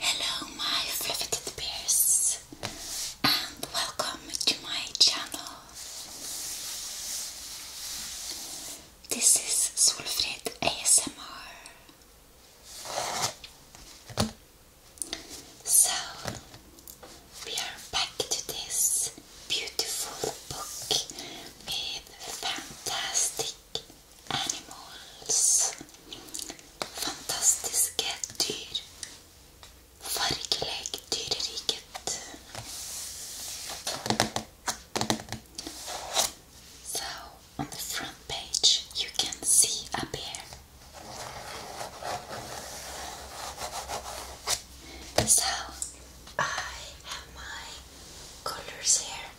Hello, my riveted bears, and welcome to my channel. This is Solfrid ASMR. So, we are back to this beautiful book with fantastic animals, fantastiske dyr, fargelegg dyreriket. So, on the front page, you can see a bear. So I have my colors here.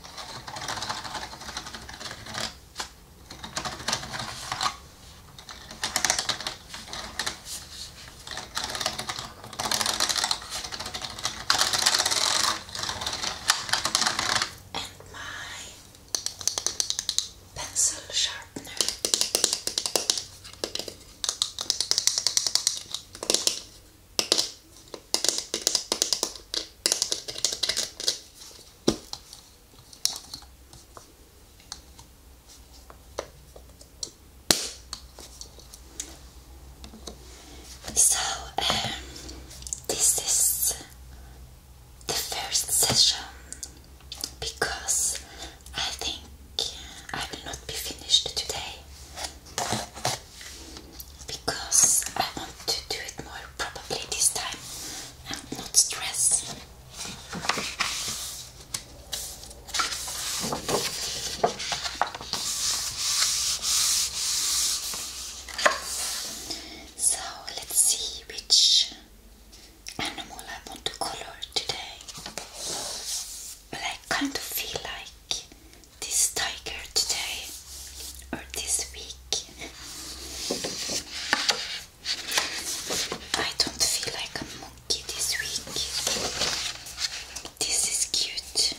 And my pencil sharpener. So, um, this is the first session because I think I will not be finished today because I want to do it more probably this time and not stress. So let's see which animal I want to color today. But I kind of feel like this tiger today or this week. I don't feel like a monkey this week. This is cute.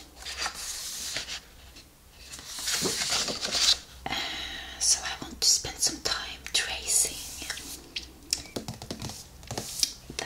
Uh, so I want to spend some time tracing the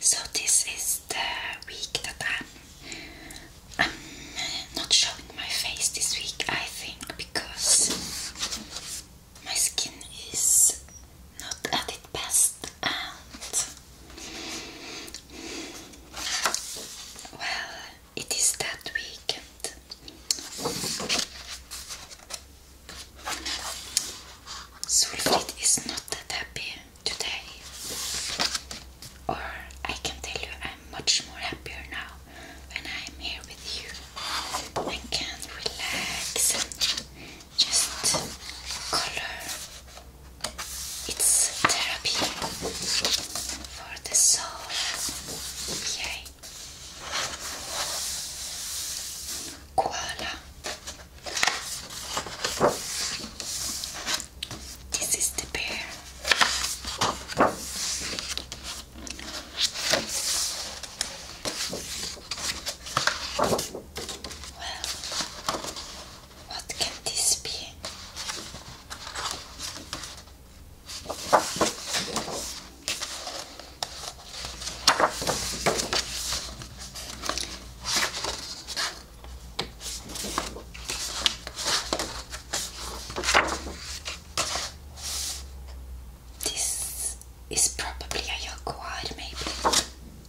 So this is the week that I'm not showing my face this week, I think, because my skin is not at its best and well, it is that weekend. Sulfit is not that happy today, or I can tell you I'm much more happier now when I'm here with you and can relax and just color. It's therapy for the soul. Okay, Koala. This is the bear. Well, what can this be? This is probably a jaguar, maybe.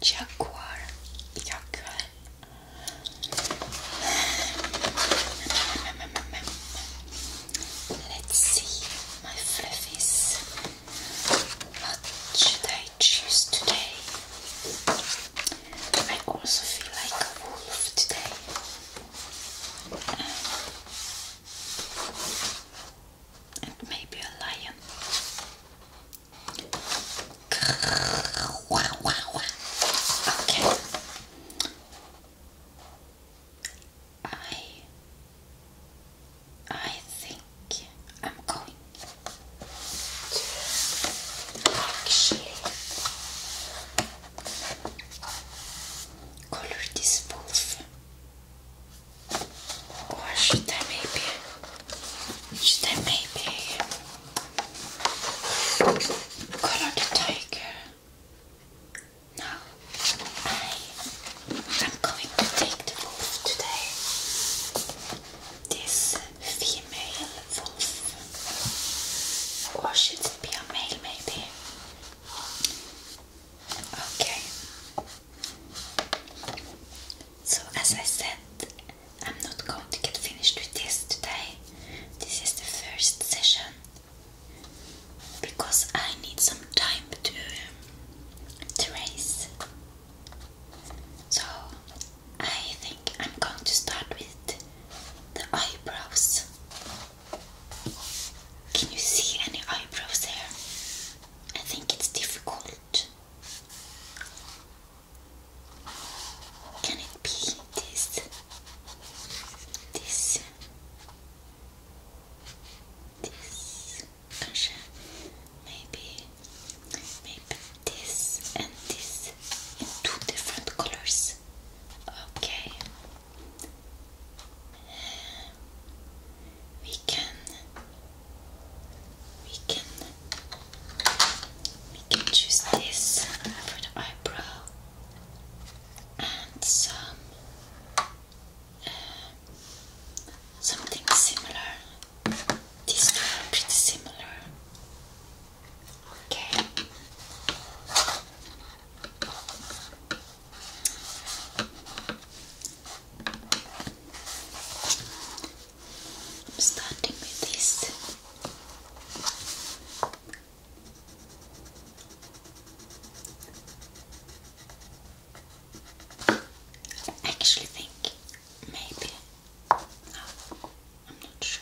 Jaguar. Jaguar. Let's see, my fluffies. What should I I choose today. I also feel like a wolf today. Um, and maybe a lion. Okay. I I think I'm going actually color this wolf. Or should I maybe? Should I maybe color the tiger? No, I am going to take the wolf today. This female wolf. Or should it be a male, Okay. So, as I said, I'm not going to get finished with this today. This is the first session because I need some time to, um, So, I think I'm going to start with the eyebrows. Can you see any eyebrows there? I think it's difficult. Can it be this? This? This? Maybe. Maybe shape this and this in two different colors. Okay. We can we can we can choose this for the eyebrow and some uh, something similar. These two are pretty similar. Okay. I'm starting with this. I actually think maybe oh, I'm not sure.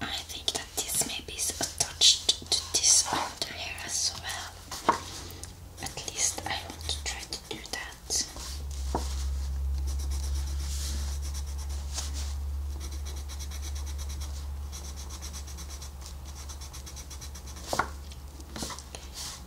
I think that this maybe is attached to this under here as well. At least I want to try to do that.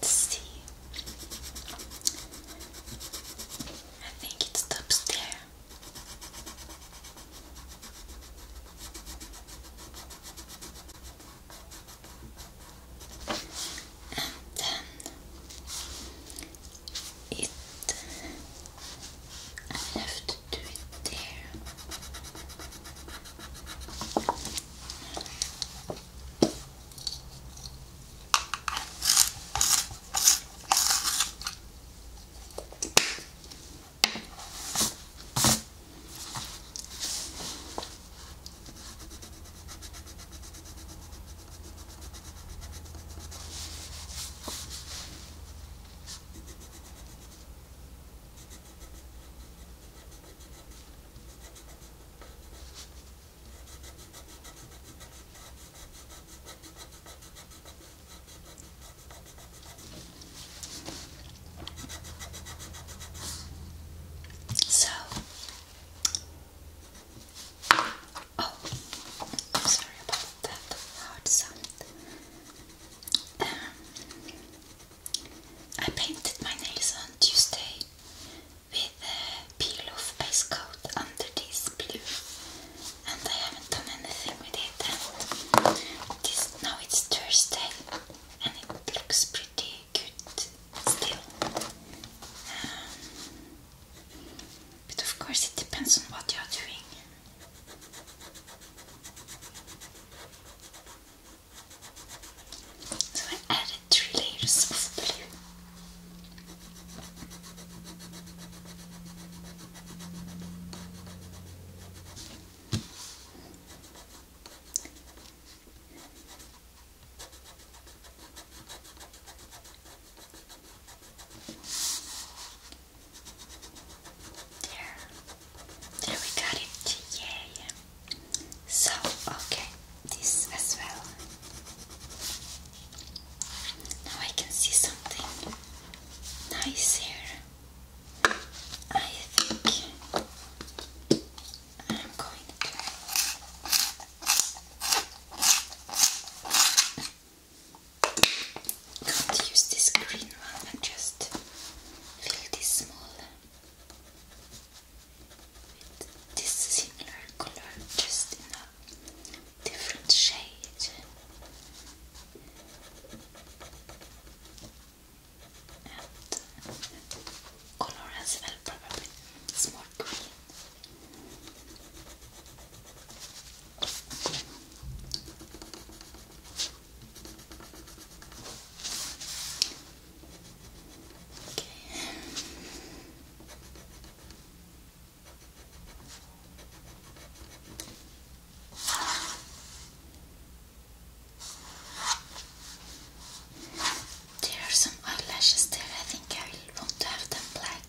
Let's see. I think it stops And then it I have to do it there. So, oh, I'm sorry about that that hard sound. I painted my nails on Tuesday with a peel off ice coat under this blue, and I haven't done anything with it. now it's Thursday, and it looks pretty good still. Um, but of course, it depends on what you're doing. So I added three layers of blue. There. There we got it. Yay. So, okay, this as well. Now I can see something nice here. I think I'm going to can't use this green one and just fill this small with this similar color, just in a different shade. And uh, color as well, probably it's more green. There are some eyelashes there. I think I will want to have them black.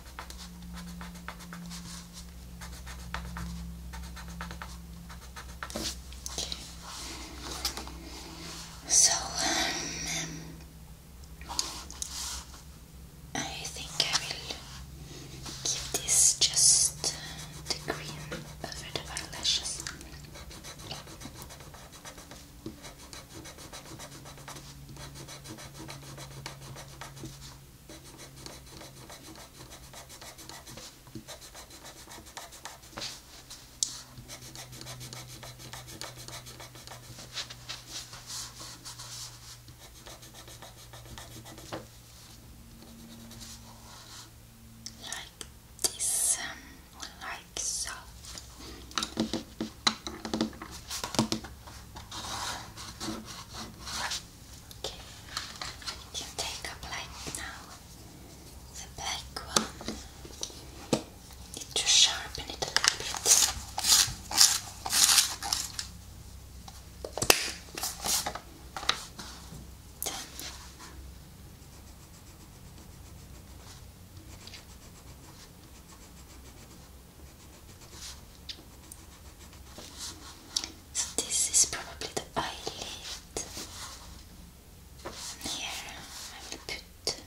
So, um, I think I will give this just uh, the green over the eyelashes. Like this, um, like so. Okay, you can take up like now the black one. Need to sharpen it a little bit. So this is probably the eyelid. Here I will put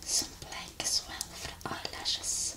some black as well for the eyelashes.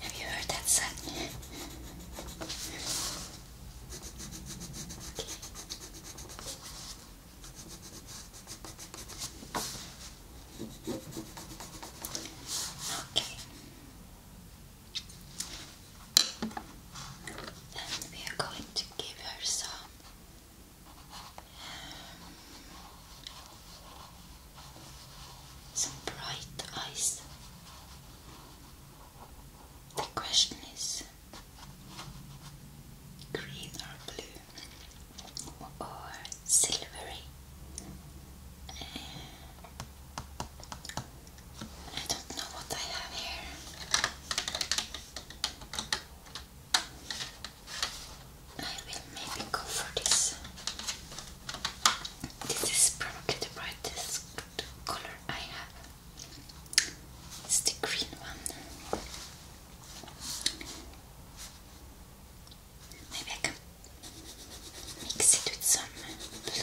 Have you heard that song? okay. Then we are going to give her some um, some bright eyes. The question is green or blue or silvery? I don't know what I have here. I will maybe go for this this is probably the brightest color I have. It's the green one. Maybe I can mix it with some blue.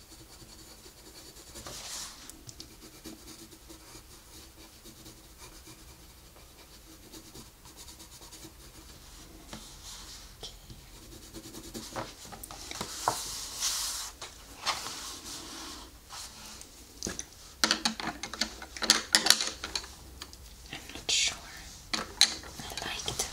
I'm not sure I like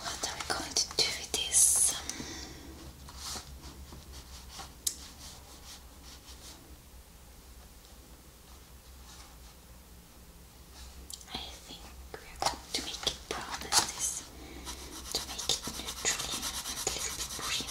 What are we going to do with this? I think we're going to make it brown this, to make it neutral and a little bit green.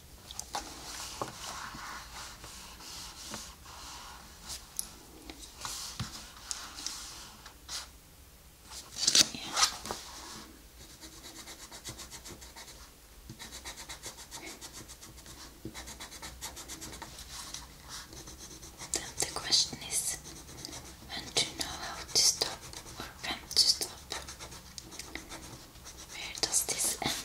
Then the question is when to know how to stop or when to stop. Where does this end? then it's this.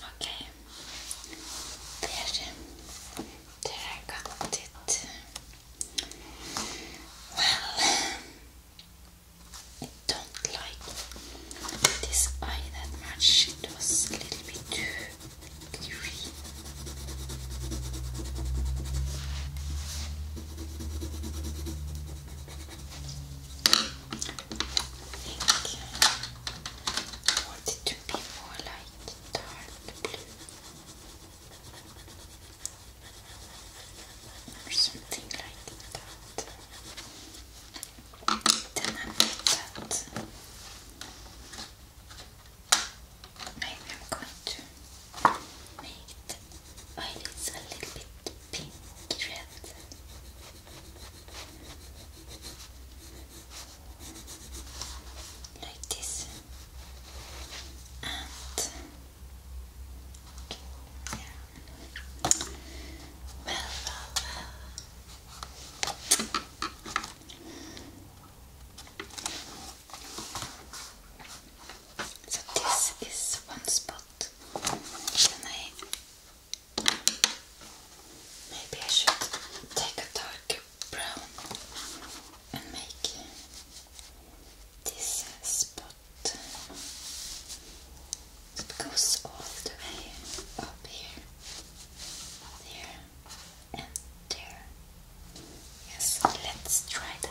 Okej. Okay. There, there I got it. Well, I don't like this eye that much. It was a little bit too green. I want to be more like dark blue or something like that. Then I put that Maybe I'm going to make the eyelids a little bit pink red. Like this. And yeah. well, well. So this is one spot. And I maybe I should take a dark brown and make this spot. It goes all the way up here, there, and there. Yes, let's try that.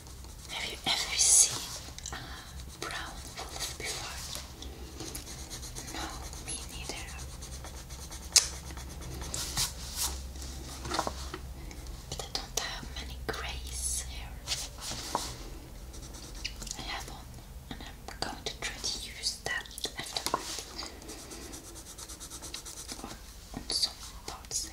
Have you ever seen a brown wolf before? No, me neither. But I don't have many grays here. I have one, and I'm going to try to use that afterward. Or on some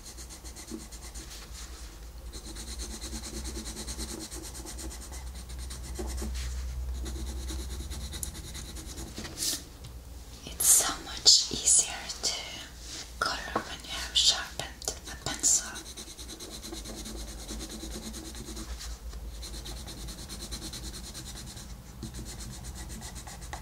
It's so much easier to color when you have sharpened a pencil.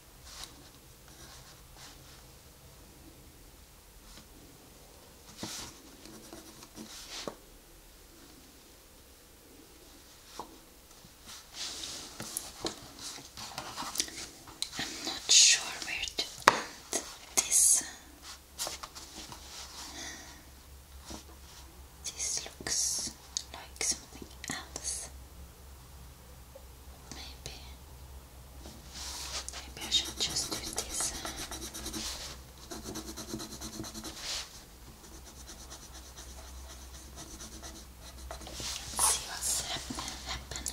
I'm not sure where to end this. This looks like something else. Maybe, maybe I should just do this. Let's see what's happening.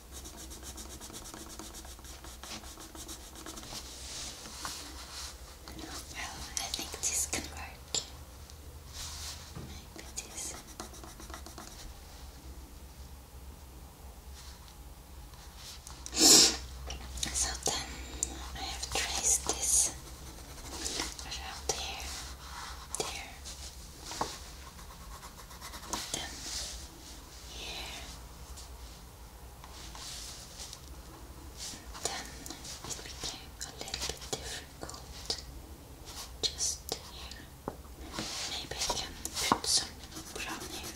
Well, I think this can work. Maybe this. So then I have traced this there, there, then here, then it became a little bit difficult just Maybe I can put some brown here.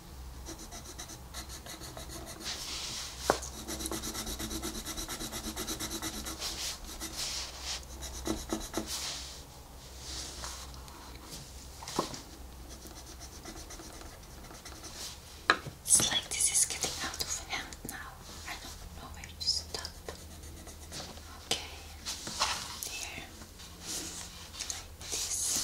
It's like this is getting out of hand now. I don't know where to stop. Okay, there, like this.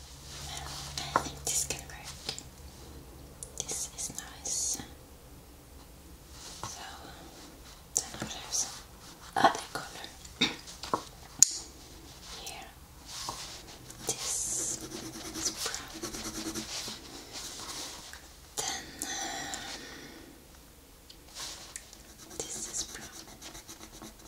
I think this can work. This is nice. So then I have some other color here. This is brown. Then um, this is brown.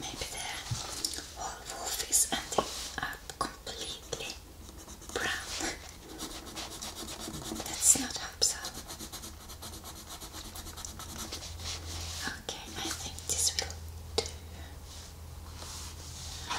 Maybe the whole wolf is ending up completely brown. let not hope so. Okay, I think this will do. Uh,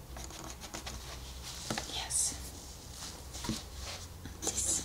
Yes. This.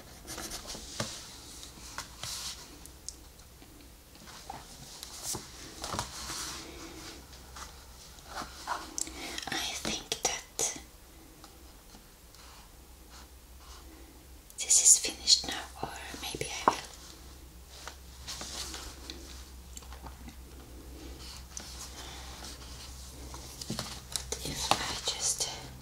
I think that this is finished now, or maybe if I just uh,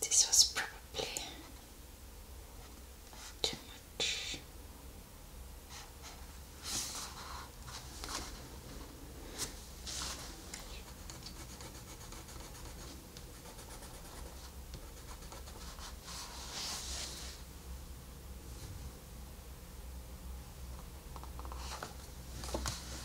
This was probably too much.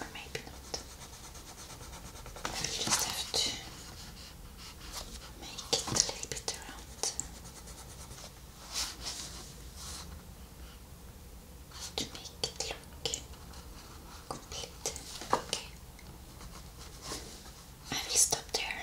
Or maybe not. just have to make it a little bit round to make it look complete. Okay. I will stop there.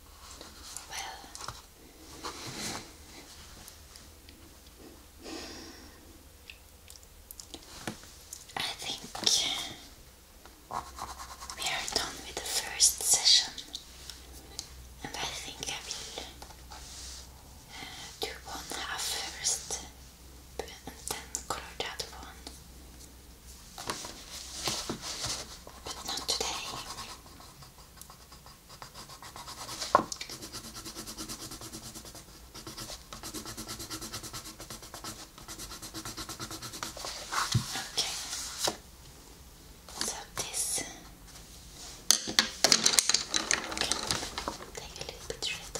Well, I think we are done with the first session, and I think I will uh, do one half first and then color that one. But not today. Okay. So this can take a little bit red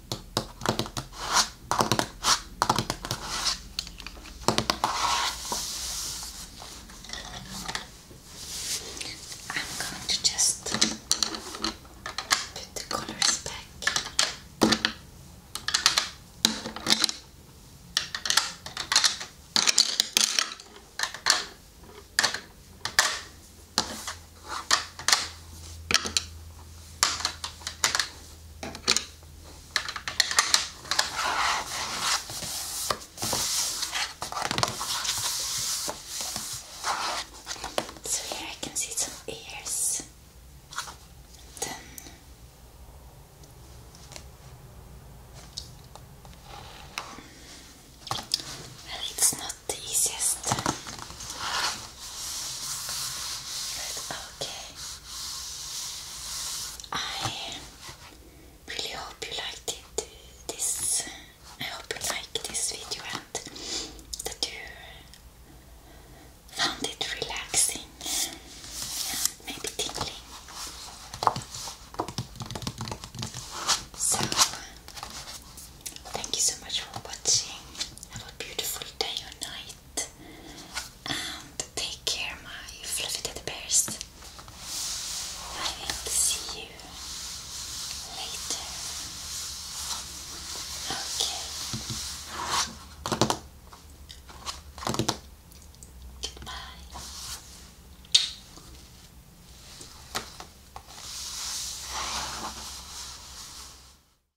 I'm going to just put the colors back. So here I can see some ears. Then well, it's not the easiest okay. I really hope you liked it, this, I hope you liked this video and that you found it relaxing and maybe tingling. So, thank you so much for watching. Have a beautiful day or night night and take care, my fluffy teddy bears. I will see you later. Okay. Goodbye.